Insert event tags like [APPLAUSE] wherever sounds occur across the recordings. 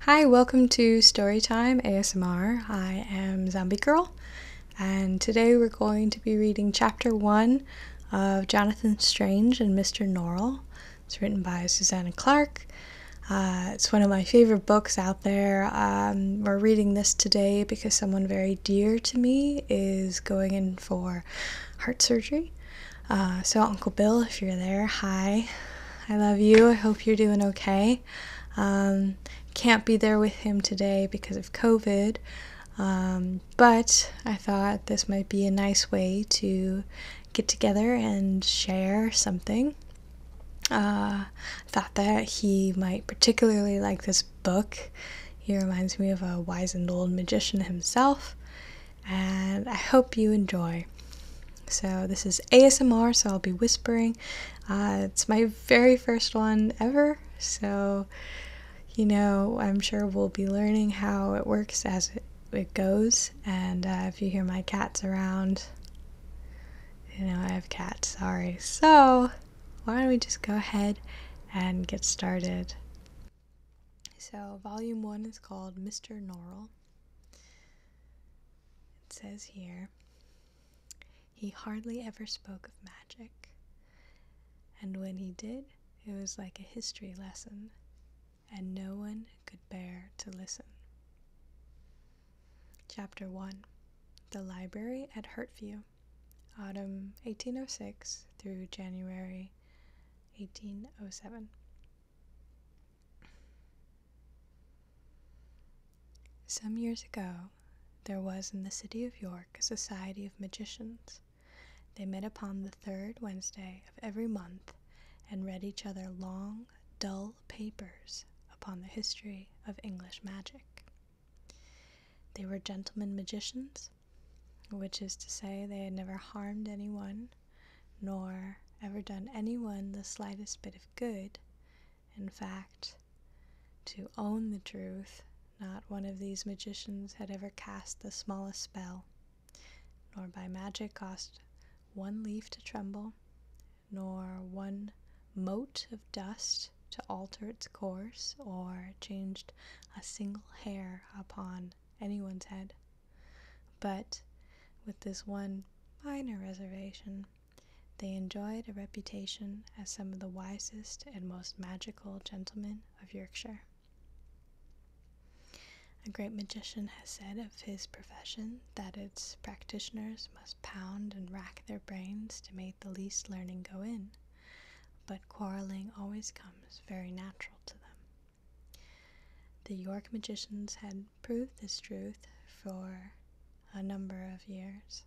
Hi, welcome to Storytime ASMR. I am Zombie Girl, and today we're going to be reading Chapter 1 of Jonathan Strange and Mr. Norrell. It's written by Susanna Clark uh, it's one of my favorite books out there. Um, we're reading this today because someone very dear to me is going in for heart surgery. Uh, so, Uncle Bill, if you're there, hi. I love you. I hope you're doing okay. Um, can't be there with him today because of COVID, um, but I thought this might be a nice way to get together and share something uh, thought that he might particularly like this book. He reminds me of a wise and old magician himself, and I hope you enjoy. So, this is ASMR, so I'll be whispering. Uh, it's my very first one ever, so you know, I'm sure we'll be learning how it works as it, goes. And uh, if you hear my cats around, you know, I have cats, sorry. So, why don't we just go ahead and get started? So, volume one is called Mr. Norrell. It says here he hardly ever spoke of magic, and when he did, it was like a history lesson, and no one could bear to listen. Chapter 1 The Library at Hurtview, Autumn 1806 through January 1807. Some years ago, there was in the city of York a society of magicians. They met upon the third Wednesday of every month and read each other long, dull papers upon the history of English magic. They were gentlemen magicians, which is to say, they had never harmed anyone, nor ever done anyone the slightest bit of good. In fact, to own the truth, not one of these magicians had ever cast the smallest spell, nor by magic caused one leaf to tremble, nor one mote of dust to alter its course or changed a single hair upon anyone's head. But with this one minor reservation, they enjoyed a reputation as some of the wisest and most magical gentlemen of Yorkshire. A great magician has said of his profession that its practitioners must pound and rack their brains to make the least learning go in, but quarreling always comes very natural to them. The York magicians had proved this truth for a number of years.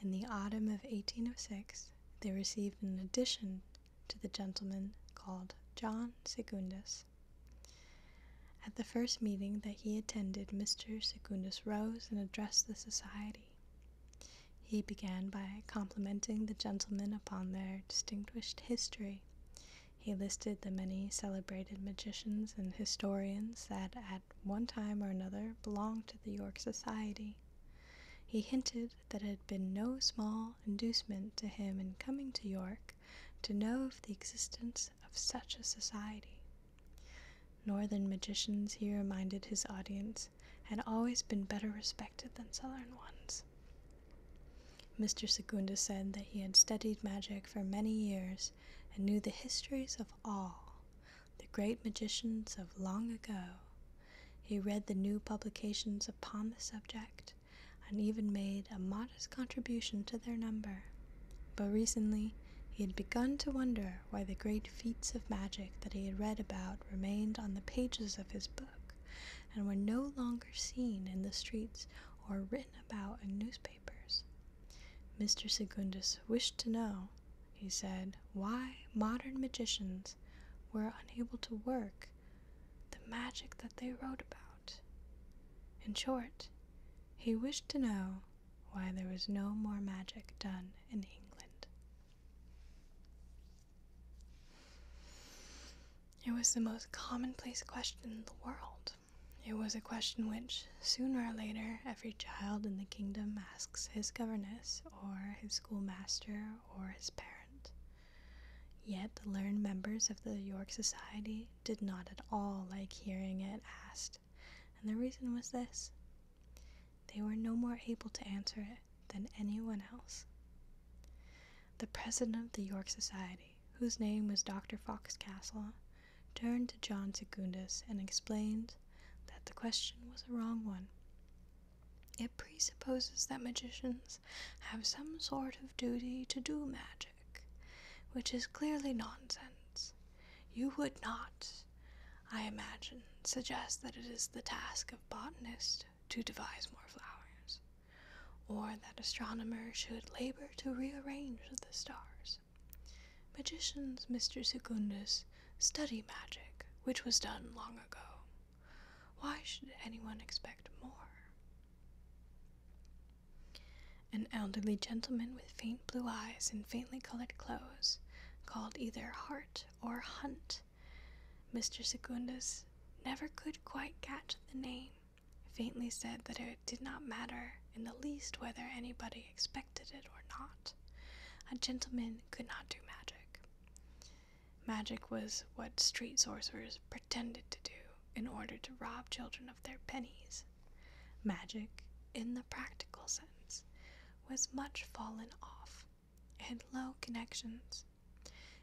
In the autumn of 1806, they received an addition to the gentlemen called John Secundus at the first meeting that he attended, Mr. Secundus rose and addressed the society. He began by complimenting the gentlemen upon their distinguished history. He listed the many celebrated magicians and historians that at one time or another belonged to the York Society. He hinted that it had been no small inducement to him in coming to York to know of the existence of such a society. Northern magicians, he reminded his audience, had always been better respected than southern ones. Mr. Segunda said that he had studied magic for many years and knew the histories of all the great magicians of long ago. He read the new publications upon the subject and even made a modest contribution to their number. But recently, he had begun to wonder why the great feats of magic that he had read about remained on the pages of his book and were no longer seen in the streets or written about in newspapers. Mr. Secundus wished to know, he said, why modern magicians were unable to work the magic that they wrote about. In short, he wished to know why there was no more magic done in England. It was the most commonplace question in the world. It was a question which, sooner or later, every child in the kingdom asks his governess, or his schoolmaster, or his parent. Yet the learned members of the York Society did not at all like hearing it asked, and the reason was this they were no more able to answer it than anyone else. The president of the York Society, whose name was Dr. Foxcastle, turned to John Secundus and explained that the question was a wrong one. It presupposes that magicians have some sort of duty to do magic which is clearly nonsense. You would not, I imagine, suggest that it is the task of botanists to devise more flowers, or that astronomers should labor to rearrange the stars. Magicians, Mr. Secundus, study magic, which was done long ago. Why should anyone expect more? An elderly gentleman with faint blue eyes and faintly colored clothes, called either Hart or Hunt. Mr. Secundus never could quite catch the name, faintly said that it did not matter in the least whether anybody expected it or not. A gentleman could not do magic. Magic was what street sorcerers pretended to do in order to rob children of their pennies. Magic, in the practical sense, was much fallen off, had low connections.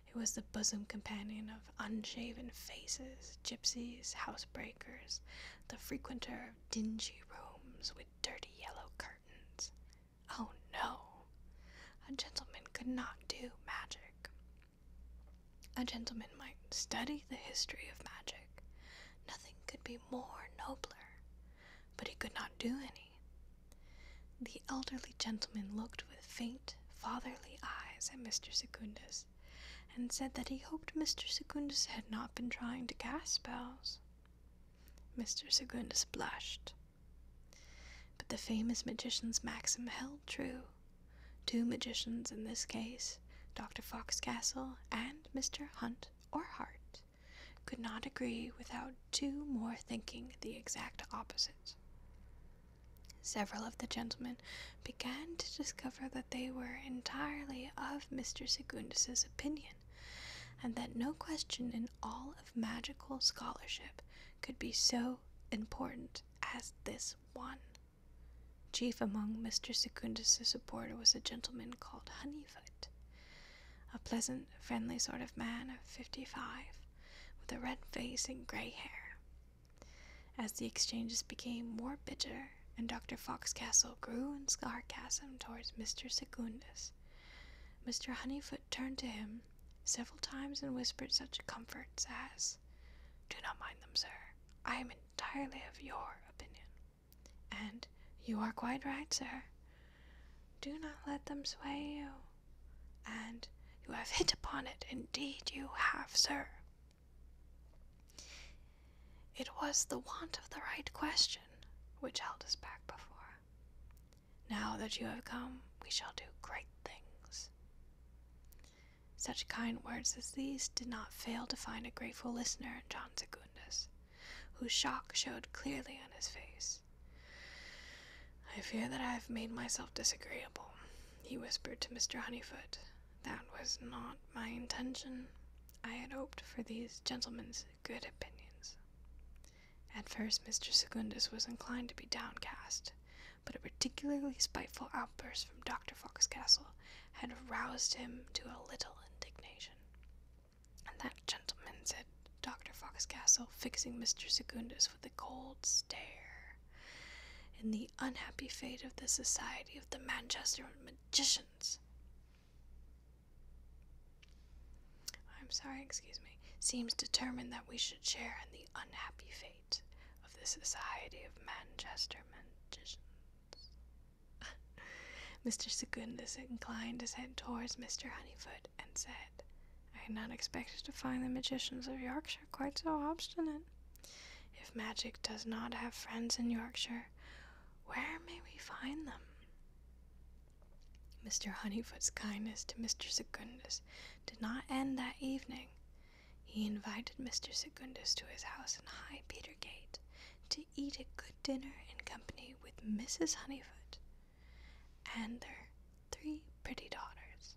It was the bosom companion of unshaven faces, gypsies, housebreakers, the frequenter of dingy rooms with dirty yellow curtains. Oh no! A gentleman could not do magic. A gentleman might study the history of magic. Nothing could be more nobler, but he could not do any. The elderly gentleman looked with faint, fatherly eyes at Mr. Secundus, and said that he hoped Mr. Secundus had not been trying to cast spells. Mr. Secundus blushed. But the famous magician's maxim held true. Two magicians in this case, Dr. Foxcastle and Mr. Hunt or Hart, could not agree without two more thinking the exact opposite. Several of the gentlemen began to discover that they were entirely of Mr. Secundus's opinion, and that no question in all of magical scholarship could be so important as this one. Chief among Mr. Secundus's supporters was a gentleman called Honeyfoot, a pleasant, friendly sort of man of fifty-five, with a red face and gray hair. As the exchanges became more bitter, and Dr. Foxcastle grew in sarcasm towards Mr. Secundus, Mr. Honeyfoot turned to him several times and whispered such comforts as, do not mind them, sir. I am entirely of your opinion. And you are quite right, sir. Do not let them sway you. And you have hit upon it, indeed you have, sir. It was the want of the right question which held us back before. Now that you have come, we shall do great things. Such kind words as these did not fail to find a grateful listener in John Secundus, whose shock showed clearly on his face. I fear that I have made myself disagreeable, he whispered to Mr. Honeyfoot. That was not my intention. I had hoped for these gentlemen's good opinions. At first, Mr. Secundus was inclined to be downcast, but a particularly spiteful outburst from Dr. Foxcastle had roused him to a little indignation. And that gentleman, said Dr. Foxcastle, fixing Mr. Secundus with a cold stare, in the unhappy fate of the Society of the Manchester Magicians. I'm sorry, excuse me, seems determined that we should share in the unhappy fate of the Society of Manchester Magicians. [LAUGHS] Mr. Secundus inclined his head towards Mr. Honeyfoot and said, I had not expected to find the magicians of Yorkshire quite so obstinate. If magic does not have friends in Yorkshire, where may we find them? Mr. Honeyfoot's kindness to Mr. Secundus did not end that evening. He invited Mr. Secundus to his house in High Petergate to eat a good dinner in company with Mrs. Honeyfoot and their three pretty daughters,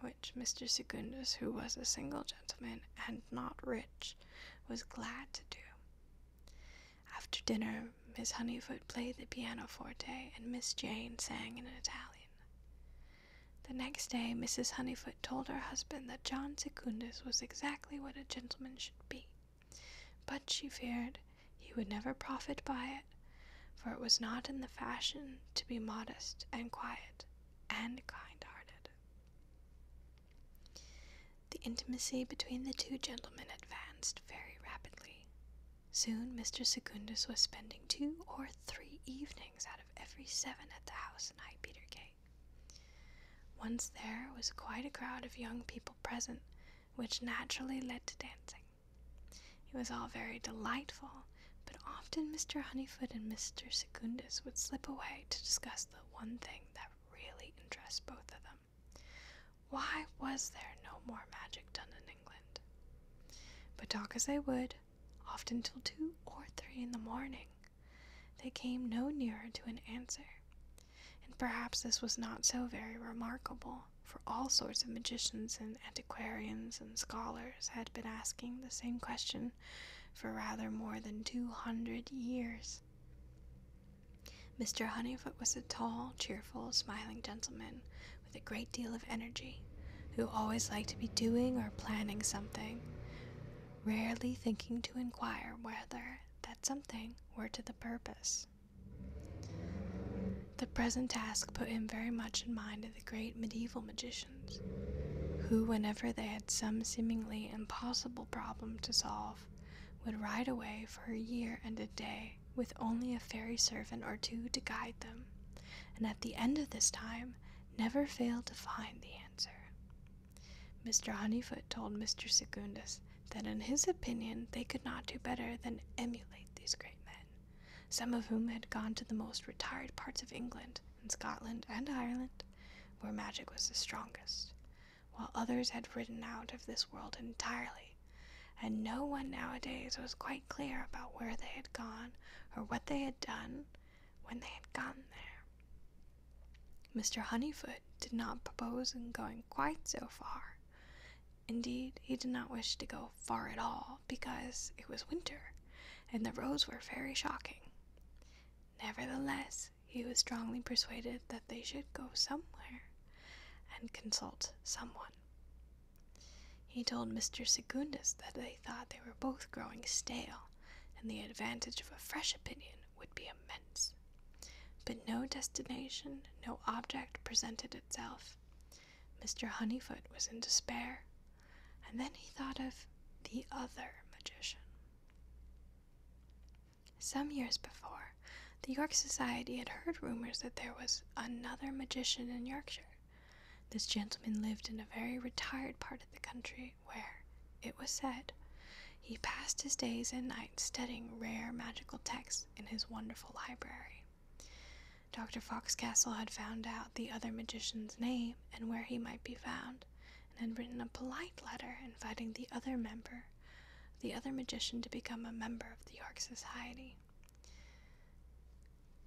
which Mr. Secundus, who was a single gentleman and not rich, was glad to do. After dinner, Miss Honeyfoot played the pianoforte and Miss Jane sang in Italian. The next day, Mrs. Honeyfoot told her husband that John Secundus was exactly what a gentleman should be, but she feared he would never profit by it, for it was not in the fashion to be modest and quiet and kind hearted. The intimacy between the two gentlemen advanced very rapidly. Soon Mr. Secundus was spending two or three evenings out of every seven at the house in High Petergate. Once there was quite a crowd of young people present, which naturally led to dancing. It was all very delightful, but often Mr. Honeyfoot and Mr. Secundus would slip away to discuss the one thing that really interested both of them. Why was there no more magic done in England? But talk as they would, often till two or three in the morning. They came no nearer to an answer. And perhaps this was not so very remarkable, for all sorts of magicians and antiquarians and scholars had been asking the same question for rather more than two hundred years. Mr. Honeyfoot was a tall, cheerful, smiling gentleman with a great deal of energy, who always liked to be doing or planning something, rarely thinking to inquire whether that something were to the purpose. The present task put him very much in mind of the great medieval magicians, who, whenever they had some seemingly impossible problem to solve, would ride away for a year and a day with only a fairy servant or two to guide them, and at the end of this time never failed to find the answer. Mr. Honeyfoot told Mr. Secundus that, in his opinion, they could not do better than emulate these great men, some of whom had gone to the most retired parts of England and Scotland and Ireland, where magic was the strongest, while others had ridden out of this world entirely, and no one nowadays was quite clear about where they had gone or what they had done when they had gotten there. Mr. Honeyfoot did not propose going quite so far. Indeed, he did not wish to go far at all because it was winter and the roads were very shocking. Nevertheless, he was strongly persuaded that they should go somewhere and consult someone. He told Mr. Secundus that they thought they were both growing stale, and the advantage of a fresh opinion would be immense. But no destination, no object presented itself. Mr. Honeyfoot was in despair, and then he thought of the other magician. Some years before, the York Society had heard rumors that there was another magician in Yorkshire, this gentleman lived in a very retired part of the country where, it was said, he passed his days and nights studying rare magical texts in his wonderful library. Dr. Foxcastle had found out the other magician's name and where he might be found, and had written a polite letter inviting the other member, the other magician, to become a member of the York Society.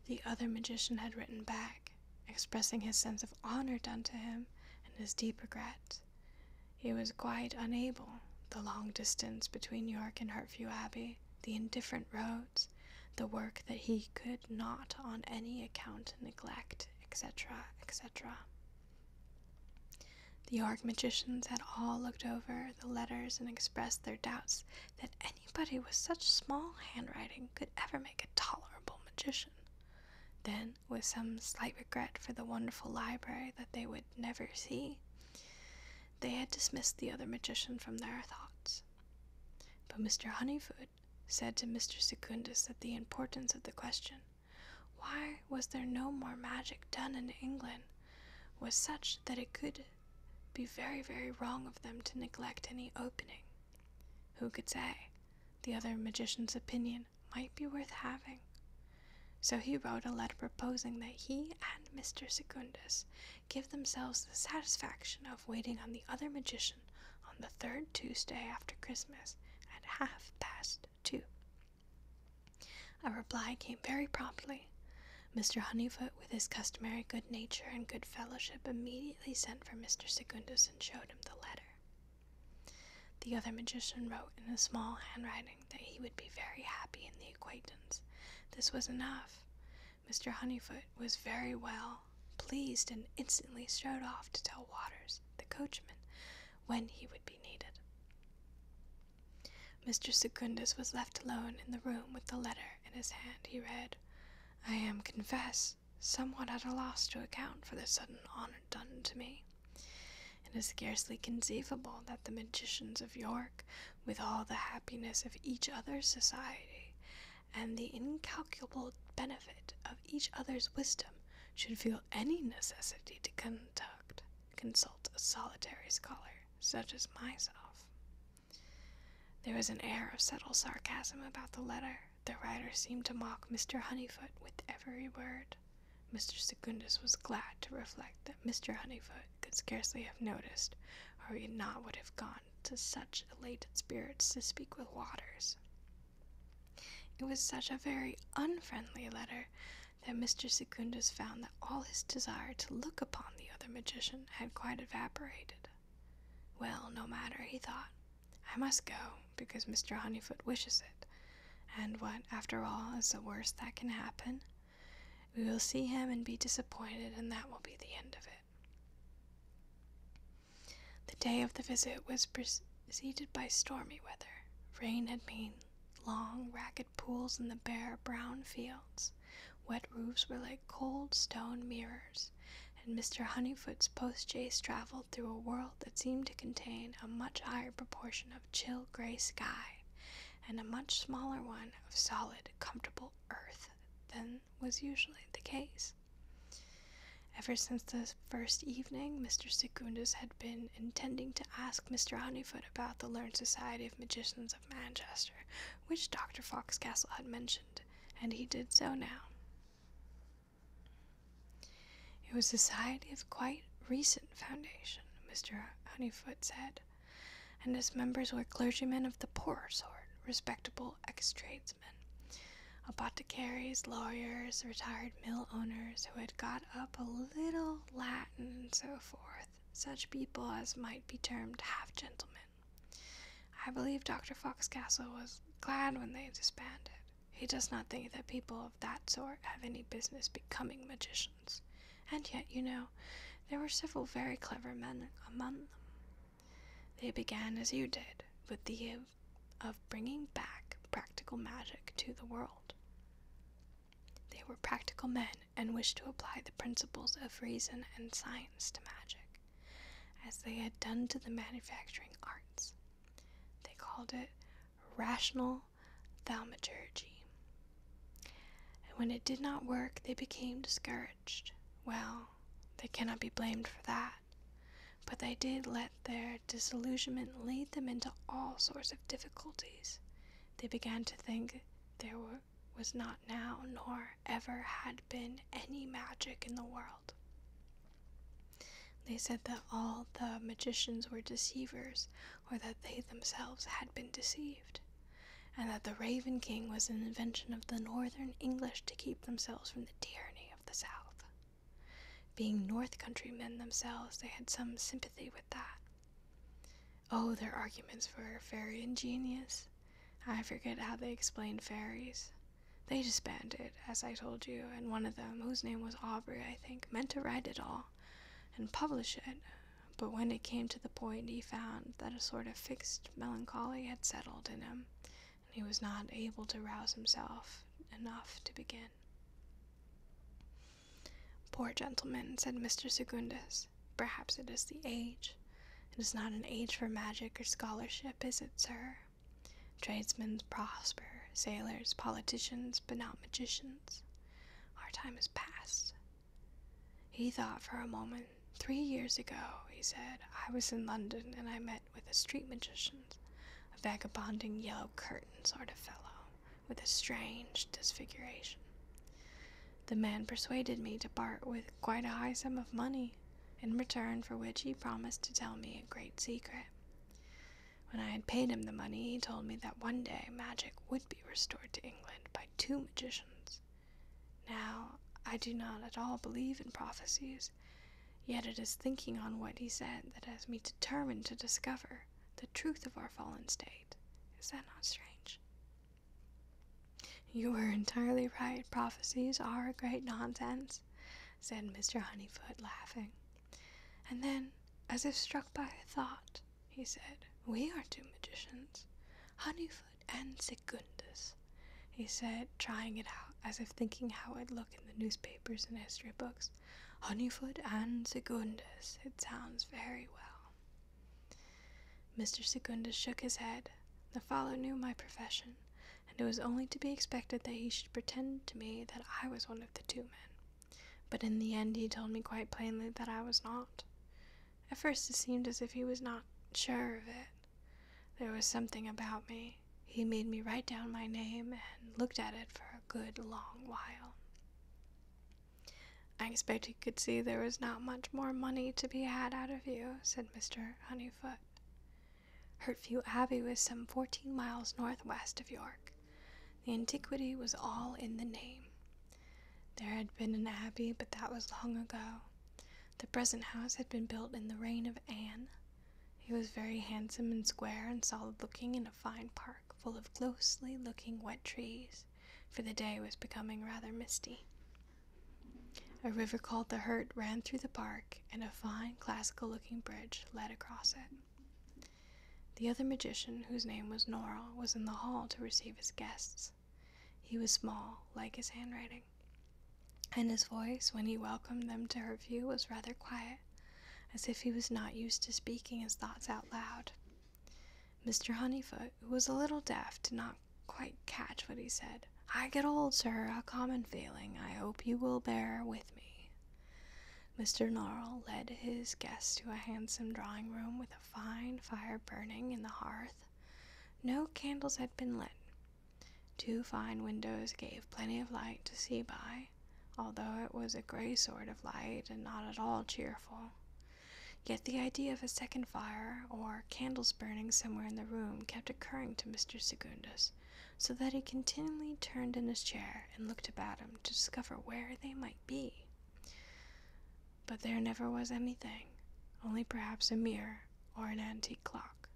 The other magician had written back, expressing his sense of honor done to him and his deep regret. He was quite unable, the long distance between York and Hartview Abbey, the indifferent roads, the work that he could not on any account neglect, etc., etc. The York magicians had all looked over the letters and expressed their doubts that anybody with such small handwriting could ever make a tolerable magician. Then, with some slight regret for the wonderful library that they would never see, they had dismissed the other magician from their thoughts. But Mr. Honeyfoot said to Mr. Secundus that the importance of the question, why was there no more magic done in England, was such that it could be very, very wrong of them to neglect any opening who could say? The other magician's opinion might be worth having. So he wrote a letter proposing that he and Mr. Secundus give themselves the satisfaction of waiting on the other magician on the third Tuesday after Christmas at half past two. A reply came very promptly. Mr. Honeyfoot with his customary good nature and good fellowship, immediately sent for Mr. Secundus and showed him the letter. The other magician wrote in a small handwriting that he would be very happy in the acquaintance. This was enough. Mr. Honeyfoot was very well pleased and instantly strode off to tell Waters, the coachman, when he would be needed. Mr. Secundus was left alone in the room with the letter in his hand. He read, I am, confess, somewhat at a loss to account for the sudden honor done to me. It is scarcely conceivable that the magicians of York, with all the happiness of each other's society, and the incalculable benefit of each other's wisdom, should feel any necessity to conduct consult a solitary scholar such as myself. There was an air of subtle sarcasm about the letter. The writer seemed to mock Mr. Honeyfoot with every word. Mr. Secundus was glad to reflect that Mr. Honeyfoot could scarcely have noticed, or he not would have gone to such elated spirits to speak with Waters. It was such a very unfriendly letter that Mr. Secundus found that all his desire to look upon the other magician had quite evaporated. Well, no matter, he thought. I must go, because Mr. Honeyfoot wishes it. And what, after all, is the worst that can happen? We will see him and be disappointed, and that will be the end of it. The day of the visit was preceded by stormy weather. Rain had been long, ragged pools in the bare, brown fields. Wet roofs were like cold stone mirrors and Mr. Honeyfoot's post chaise traveled through a world that seemed to contain a much higher proportion of chill gray sky and a much smaller one of solid, comfortable earth than was usually the case. Ever since the first evening, Mr. Secundus had been intending to ask Mr. Honeyfoot about the Learned Society of Magicians of Manchester, which Dr. Foxcastle had mentioned and he did so now. It was a society of quite recent foundation, Mr. Honeyfoot said, and its members were clergymen of the poorer sort, respectable ex tradesmen, apothecaries, lawyers, retired mill owners who had got up a little Latin and so forth, such people as might be termed half gentlemen. I believe Dr. Foxcastle was glad when they disbanded. He does not think that people of that sort have any business becoming magicians. And yet, you know, there were several very clever men among them. They began as you did, with the of, of bringing back practical magic to the world. They were practical men and wished to apply the principles of reason and science to magic as they had done to the manufacturing arts. They called it rational thaumaturgy. And when it did not work, they became discouraged. Well, they cannot be blamed for that. But they did let their disillusionment lead them into all sorts of difficulties. They began to think there were was not now, nor ever had been, any magic in the world. They said that all the magicians were deceivers, or that they themselves had been deceived, and that the Raven King was an invention of the northern English to keep themselves from the tyranny of the south. Being North Country men themselves, they had some sympathy with that. Oh, their arguments were very ingenious, I forget how they explained fairies. They disbanded, as I told you, and one of them, whose name was Aubrey, I think, meant to write it all and publish it. But when it came to the point, he found that a sort of fixed melancholy had settled in him, and he was not able to rouse himself enough to begin. Poor gentleman, said Mr. Secundus. Perhaps it is the age. It is not an age for magic or scholarship, is it, sir? Tradesmen prosper, sailors, politicians, but not magicians. Our time is past. He thought for a moment. Three years ago, he said, I was in London and I met with a street magician, a vagabonding yellow curtain sort of fellow, with a strange disfiguration. The man persuaded me to part with quite a high sum of money, in return for which he promised to tell me a great secret. When I had paid him the money, he told me that one day magic would be restored to England by two magicians. Now, I do not at all believe in prophecies, yet it is thinking on what he said that has me determined to discover the truth of our fallen state. Is that not strange? You are entirely right. Prophecies are great nonsense, said Mr. Honeyfoot, laughing. And then, as if struck by a thought, he said, We are two magicians, Honeyfoot and Secundus, he said, trying it out, as if thinking how it'd look in the newspapers and history books. Honeyfoot and Secundus, it sounds very well. Mr. Secundus shook his head. The fellow knew my profession, and it was only to be expected that he should pretend to me that I was one of the two men. But in the end, he told me quite plainly that I was not. At first, it seemed as if he was not sure of it. There was something about me. He made me write down my name and looked at it for a good long while. I expect he could see there was not much more money to be had out of you, said Mr. Honeyfoot. Hurtview Abbey was some fourteen miles northwest of York. The antiquity was all in the name. There had been an abbey, but that was long ago. The present house had been built in the reign of Anne. It was very handsome and square and solid looking in a fine park full of closely looking wet trees, for the day was becoming rather misty. A river called the Hurt ran through the park, and a fine, classical looking bridge led across it. The other magician, whose name was Nora, was in the hall to receive his guests. He was small, like his handwriting, and his voice, when he welcomed them to her view, was rather quiet, as if he was not used to speaking his thoughts out loud. Mr. Honeyfoot, who was a little deaf, did not quite catch what he said. I get old, sir, a common failing. I hope you will bear with me. Mr. Gnarl led his guest to a handsome drawing room with a fine fire burning in the hearth. No candles had been lit. Two fine windows gave plenty of light to see by, although it was a gray sort of light and not at all cheerful. Yet the idea of a second fire, or candles burning somewhere in the room kept occurring to Mr. Secundus, so that he continually turned in his chair and looked about him to discover where they might be. But there never was anything, only perhaps a mirror or an antique clock.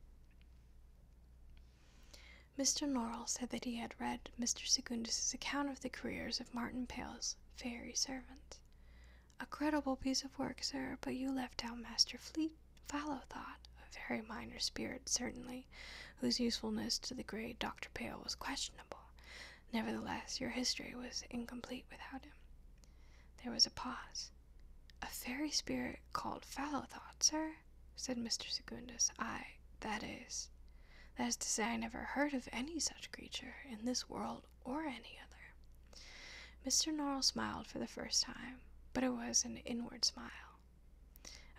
Mr. Norrell said that he had read Mr. Secundus's account of the careers of Martin Pale's fairy servants, a creditable piece of work, sir, but you left out Master Fleet Fallow Thought, a very minor spirit, certainly, whose usefulness to the great Dr. Pale was questionable. Nevertheless, your history was incomplete without him. There was a pause. A fairy spirit called Fallow Thought, sir, said Mr. Secundus. I, that is, that is to say, I never heard of any such creature in this world or any other. Mr. Norrell smiled for the first time, but it was an inward smile.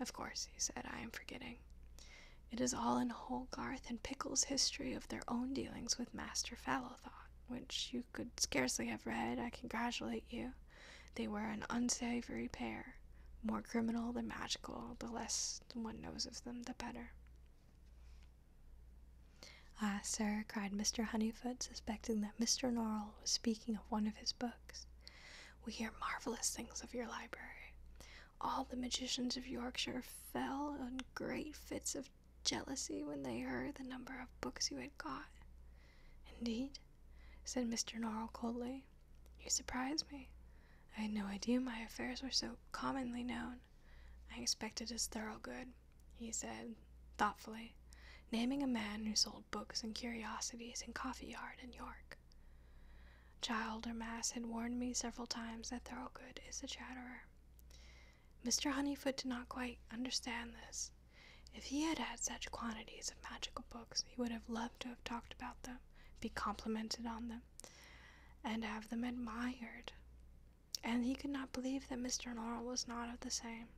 Of course, he said, I am forgetting. It is all in Holgarth and Pickle's history of their own dealings with Master Fallowthought, which you could scarcely have read. I congratulate you. They were an unsavory pair, more criminal than magical. The less one knows of them, the better. Uh, ah, sir, cried Mr. Honeyfoot, suspecting that Mr. Norrell was speaking of one of his books, we hear marvelous things of your library. All the magicians of Yorkshire fell in great fits of jealousy when they heard the number of books you had got. Indeed, said Mr. Norrell coldly, you surprise me. I had no idea my affairs were so commonly known. I expected as thorough good he said, thoughtfully, naming a man who sold books and curiosities in Coffee Yard in York. Child or Mass had warned me several times that Thorogood is a chatterer. Mr. Honeyfoot did not quite understand this. If he had had such quantities of magical books, he would have loved to have talked about them, be complimented on them, and have them admired and he could not believe that Mr. Norrell was not of the same.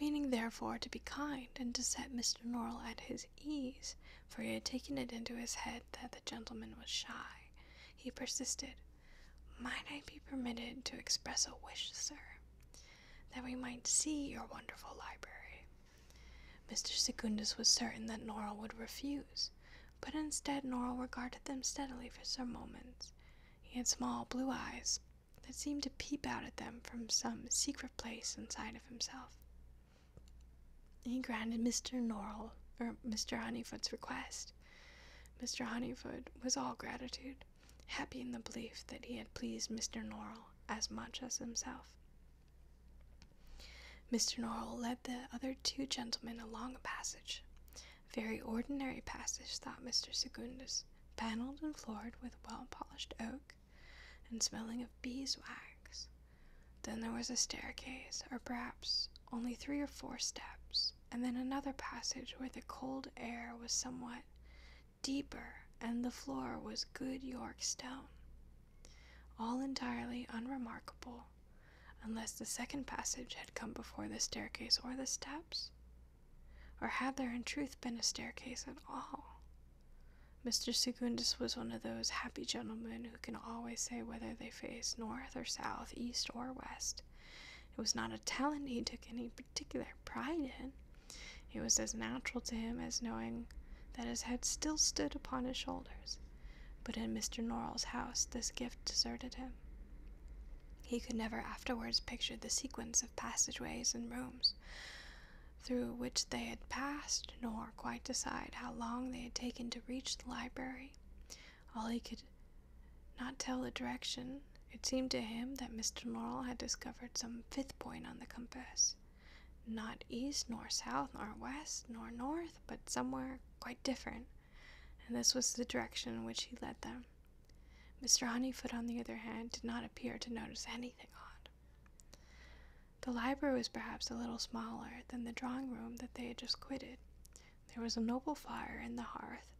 Meaning, therefore, to be kind and to set Mr. Norrell at his ease, for he had taken it into his head that the gentleman was shy, he persisted, Might I be permitted to express a wish, sir, that we might see your wonderful library? Mr. Secundus was certain that Norrell would refuse, but instead Norrell regarded them steadily for some moments he had small blue eyes that seemed to peep out at them from some secret place inside of himself. He granted Mr. Norrell or Mr. Honeyfoot's request. Mr. Honeyfoot was all gratitude, happy in the belief that he had pleased Mr. Norrell as much as himself. Mr. Norrell led the other two gentlemen along a passage very ordinary passage, thought Mr. Secundus, panelled and floored with well polished oak, and smelling of beeswax. Then there was a staircase, or perhaps only three or four steps, and then another passage where the cold air was somewhat deeper, and the floor was good York stone. All entirely unremarkable unless the second passage had come before the staircase or the steps? Or had there in truth been a staircase at all? Mr. Secundus was one of those happy gentlemen who can always say whether they face north or south, east or west. It was not a talent he took any particular pride in. It was as natural to him as knowing that his head still stood upon his shoulders. But in Mr. Norrell's house, this gift deserted him. He could never afterwards picture the sequence of passageways and rooms through which they had passed, nor quite decide how long they had taken to reach the library. All he could not tell the direction, it seemed to him that Mr. Norrell had discovered some fifth point on the compass. Not east, nor south, nor west, nor north, but somewhere quite different and this was the direction in which he led them. Mr. Honeyfoot, on the other hand, did not appear to notice anything odd. The library was perhaps a little smaller than the drawing room that they had just quitted. There was a noble fire in the hearth,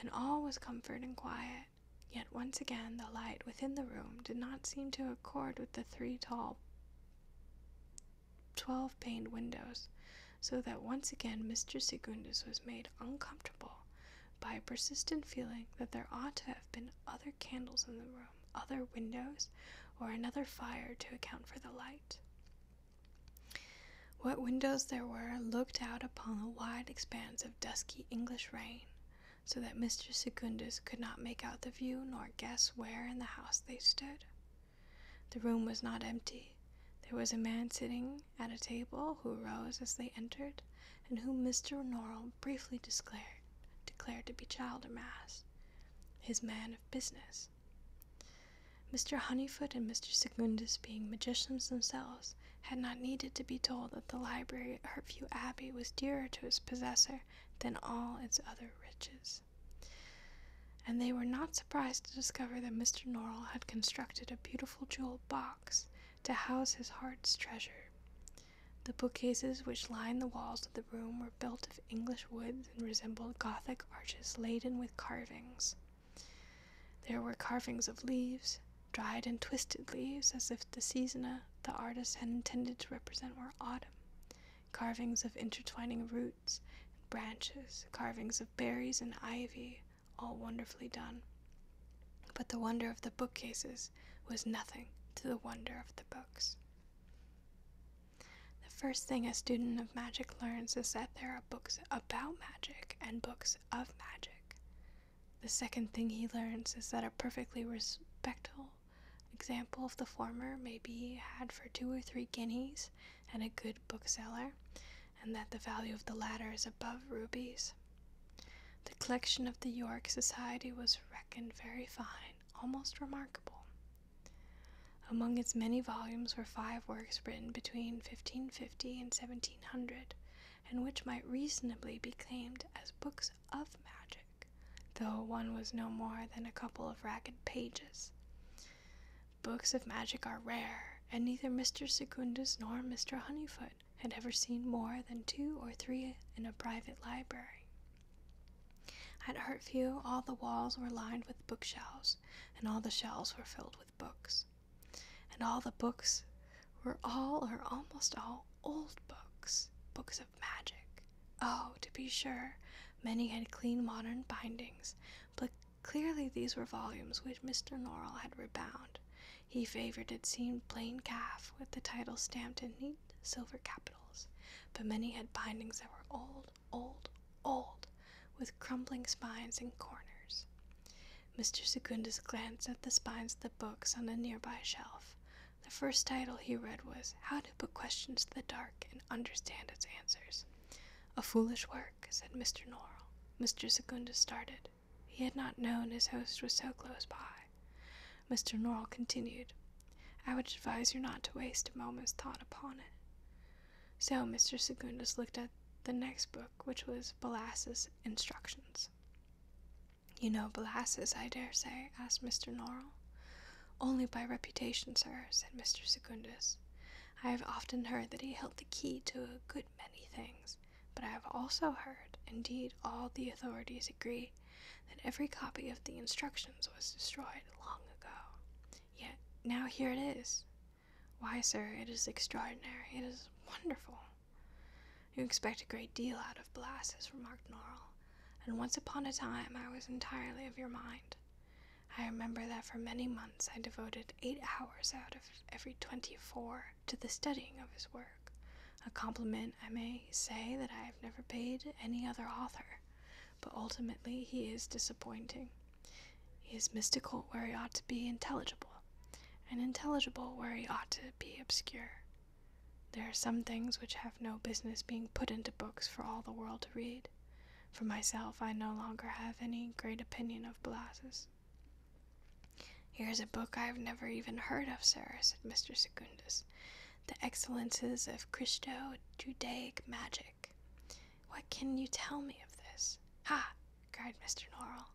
and all was comfort and quiet. Yet once again, the light within the room did not seem to accord with the three tall, twelve paned windows so that once again Mr. Secundus was made uncomfortable by a persistent feeling that there ought to have been other candles in the room, other windows, or another fire to account for the light. What windows there were looked out upon a wide expanse of dusky English rain, so that Mr. Secundus could not make out the view nor guess where in the house they stood. The room was not empty. There was a man sitting at a table who rose as they entered, and whom Mr. Norrell briefly declared, declared to be Childermass, his man of business. Mr. Honeyfoot and Mr. Secundus, being magicians themselves, had not needed to be told that the library at Hartview Abbey was dearer to its possessor than all its other riches and they were not surprised to discover that Mr. Norrell had constructed a beautiful jewelled box to house his heart's treasure. The bookcases which lined the walls of the room were built of English woods and resembled Gothic arches laden with carvings. There were carvings of leaves, dried and twisted leaves, as if the season the artist had intended to represent were autumn, carvings of intertwining roots and branches, carvings of berries and ivy, all wonderfully done. But the wonder of the bookcases was nothing to the wonder of the books. The first thing a student of magic learns is that there are books about magic and books of magic. The second thing he learns is that a perfectly respectable example of the former may be had for two or three guineas at a good bookseller, and that the value of the latter is above rubies. The collection of the York Society was reckoned very fine, almost remarkable. Among its many volumes were five works written between 1550 and 1700, and which might reasonably be claimed as books of magic, though one was no more than a couple of ragged pages. Books of magic are rare, and neither Mr. Secundus nor Mr. Honeyfoot had ever seen more than two or three in a private library. At Hartview, all the walls were lined with bookshelves, and all the shelves were filled with books. And all the books were all or almost all old books, books of magic. Oh, to be sure, many had clean modern bindings, but Clearly, these were volumes which Mr. Norrell had rebound. He favored, it seemed, plain calf, with the title stamped in neat silver capitals, but many had bindings that were old, old, old, with crumbling spines and corners. Mr. Secundus glanced at the spines of the books on a nearby shelf. The first title he read was How to Put Questions to the Dark and Understand Its Answers. A foolish work, said Mr. Norrell. Mr. Secundus started. He had not known his host was so close by. Mr. Norrell continued, I would advise you not to waste a moment's thought upon it. So Mr. Secundus looked at the next book, which was Belas's Instructions. You know Belas's, I dare say? asked Mr. Norrell. Only by reputation, sir, said Mr. Secundus. I have often heard that he held the key to a good many things, but I have also heard, indeed, all the authorities agree, that every copy of the instructions was destroyed long ago. Yet now here it is. Why, sir, it is extraordinary. It is wonderful. You expect a great deal out of Blazes," remarked Norrell, and once upon a time I was entirely of your mind. I remember that for many months I devoted eight hours out of every 24 to the studying of his work, a compliment I may say that I have never paid any other author. But ultimately, he is disappointing. He is mystical where he ought to be intelligible, and intelligible where he ought to be obscure. There are some things which have no business being put into books for all the world to read, for myself, I no longer have any great opinion of Blazes. Here's a book I have never even heard of, sir, said Mr. Secundus. The Excellences of Christo Judaic Magic. What can you tell me of this? Ha! cried Mr. Norrell.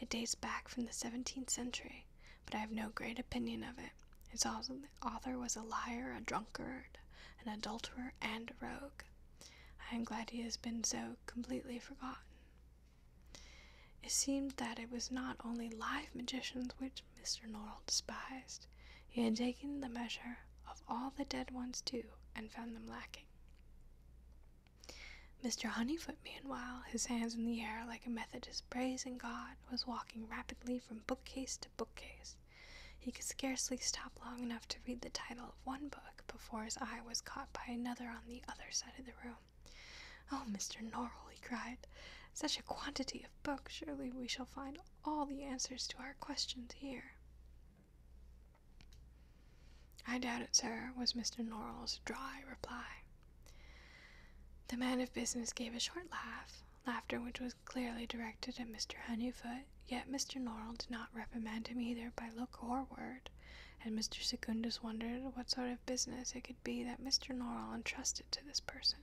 It dates back from the 17th century, but I have no great opinion of it. Its author was a liar, a drunkard, an adulterer, and a rogue. I am glad he has been so completely forgotten. It seemed that it was not only live magicians which Mr. Norrell despised, he had taken the measure of all the dead ones too, and found them lacking. Mr. Honeyfoot, meanwhile, his hands in the air like a Methodist praising God, was walking rapidly from bookcase to bookcase, he could scarcely stop long enough to read the title of one book before his eye was caught by another on the other side of the room. Oh, Mr. Norrell, he cried, such a quantity of books! Surely we shall find all the answers to our questions here. I doubt it, sir, was Mr. Norrell's dry reply. The man of business gave a short laugh, laughter which was clearly directed at Mr. Honeyfoot, yet Mr. Norrell did not reprimand him either by look or word, and Mr. Secundus wondered what sort of business it could be that Mr. Norrell entrusted to this person.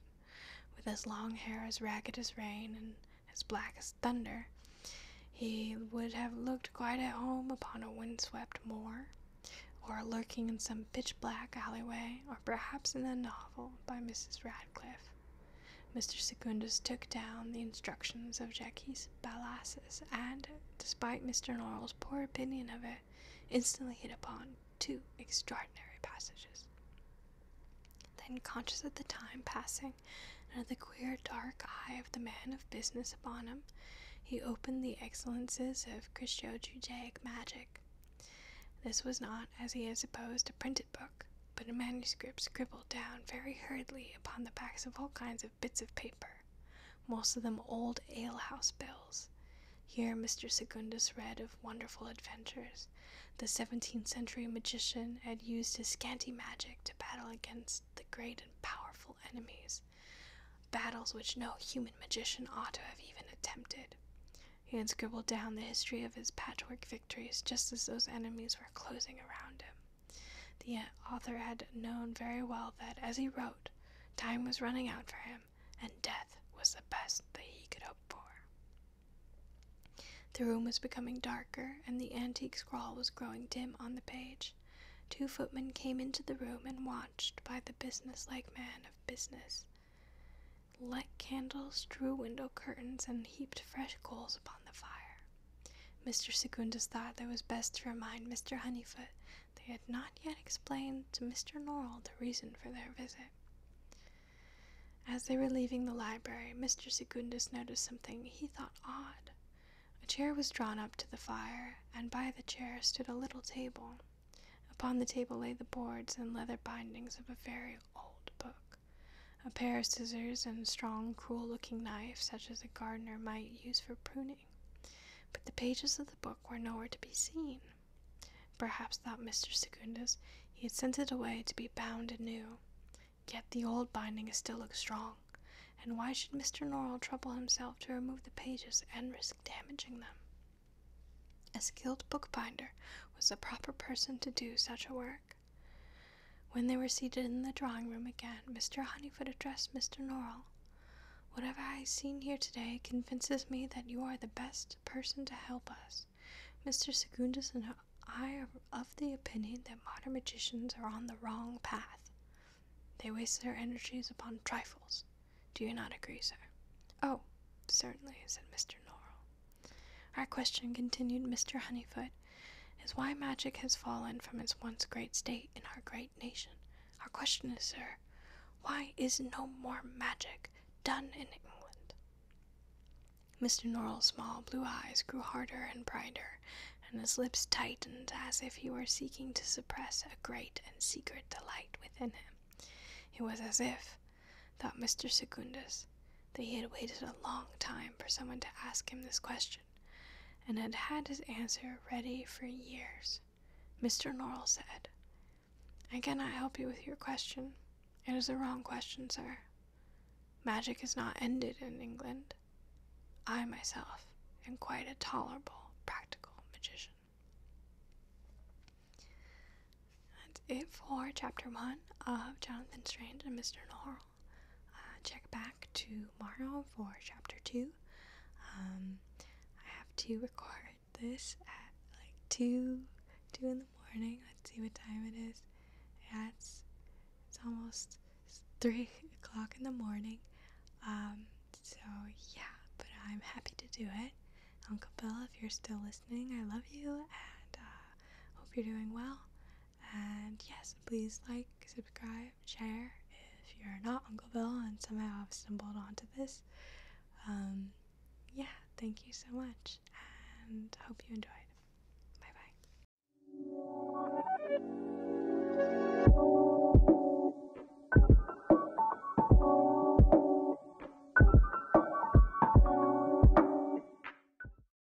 With his long hair as ragged as rain and as black as thunder, he would have looked quite at home upon a windswept moor, or lurking in some pitch black alleyway, or perhaps in a novel by Mrs. Radcliffe. Mr. Secundus took down the instructions of Jackie's Balassus, and, despite Mr. Norrell's poor opinion of it, instantly hit upon two extraordinary passages. Then, conscious of the time passing and of the queer dark eye of the man of business upon him, he opened the excellences of Christo Judaic magic. This was not, as he had supposed, a printed book but a manuscript scribbled down very hurriedly upon the backs of all kinds of bits of paper, most of them old alehouse bills. Here Mr. Secundus read of wonderful adventures. The seventeenth century magician had used his scanty magic to battle against the great and powerful enemies, battles which no human magician ought to have even attempted. He had scribbled down the history of his patchwork victories just as those enemies were closing around him. The uh, author had known very well that as he wrote, time was running out for him, and death was the best that he could hope for. The room was becoming darker, and the antique scrawl was growing dim on the page. Two footmen came into the room and watched by the business-like man of business. Lit candles drew window curtains and heaped fresh coals upon the fire. Mr. Secundus thought that it was best to remind Mr. Honeyfoot they had not yet explained to Mr. Norrell the reason for their visit. As they were leaving the library, Mr. Secundus noticed something he thought odd. A chair was drawn up to the fire, and by the chair stood a little table. Upon the table lay the boards and leather bindings of a very old book a pair of scissors, and a strong, cruel looking knife such as a gardener might use for pruning. But the pages of the book were nowhere to be seen. Perhaps, thought Mr. Secundus, he had sent it away to be bound anew. Yet the old binding still looked strong, and why should Mr. Norrell trouble himself to remove the pages and risk damaging them? A skilled bookbinder was the proper person to do such a work. When they were seated in the drawing room again, Mr. Honeyfoot addressed Mr. Norrell. Whatever I have seen here today convinces me that you are the best person to help us. Mr. Secundus and I are of the opinion that modern magicians are on the wrong path. They waste their energies upon trifles. Do you not agree, sir? Oh, certainly, said Mr. Norrell. Our question, continued Mr. Honeyfoot, is why magic has fallen from its once great state in our great nation. Our question is, sir, why is no more magic done in England? Mr. Norrell's small blue eyes grew harder and brighter, and his lips tightened as if he were seeking to suppress a great and secret delight within him. It was as if, thought Mr. Secundus, that he had waited a long time for someone to ask him this question, and had had his answer ready for years. Mr. Norrell said, I cannot help you with your question. It is a wrong question, sir. Magic is not ended in England. I myself am quite a tolerable, practical magician. That's it for chapter one of Jonathan Strange and Mr. Norrell. Uh, check back tomorrow for chapter two. Um, I have to record this at like two, two in the morning. Let's see what time it is. it's it's almost three o'clock in the morning. Um, so yeah, but I'm happy to do it. Uncle Bill, if you're still listening, I love you and uh, hope you're doing well. And yes, please like, subscribe, share if you're not Uncle Bill and somehow have stumbled onto this. Um, yeah, thank you so much and hope you enjoyed. Bye bye.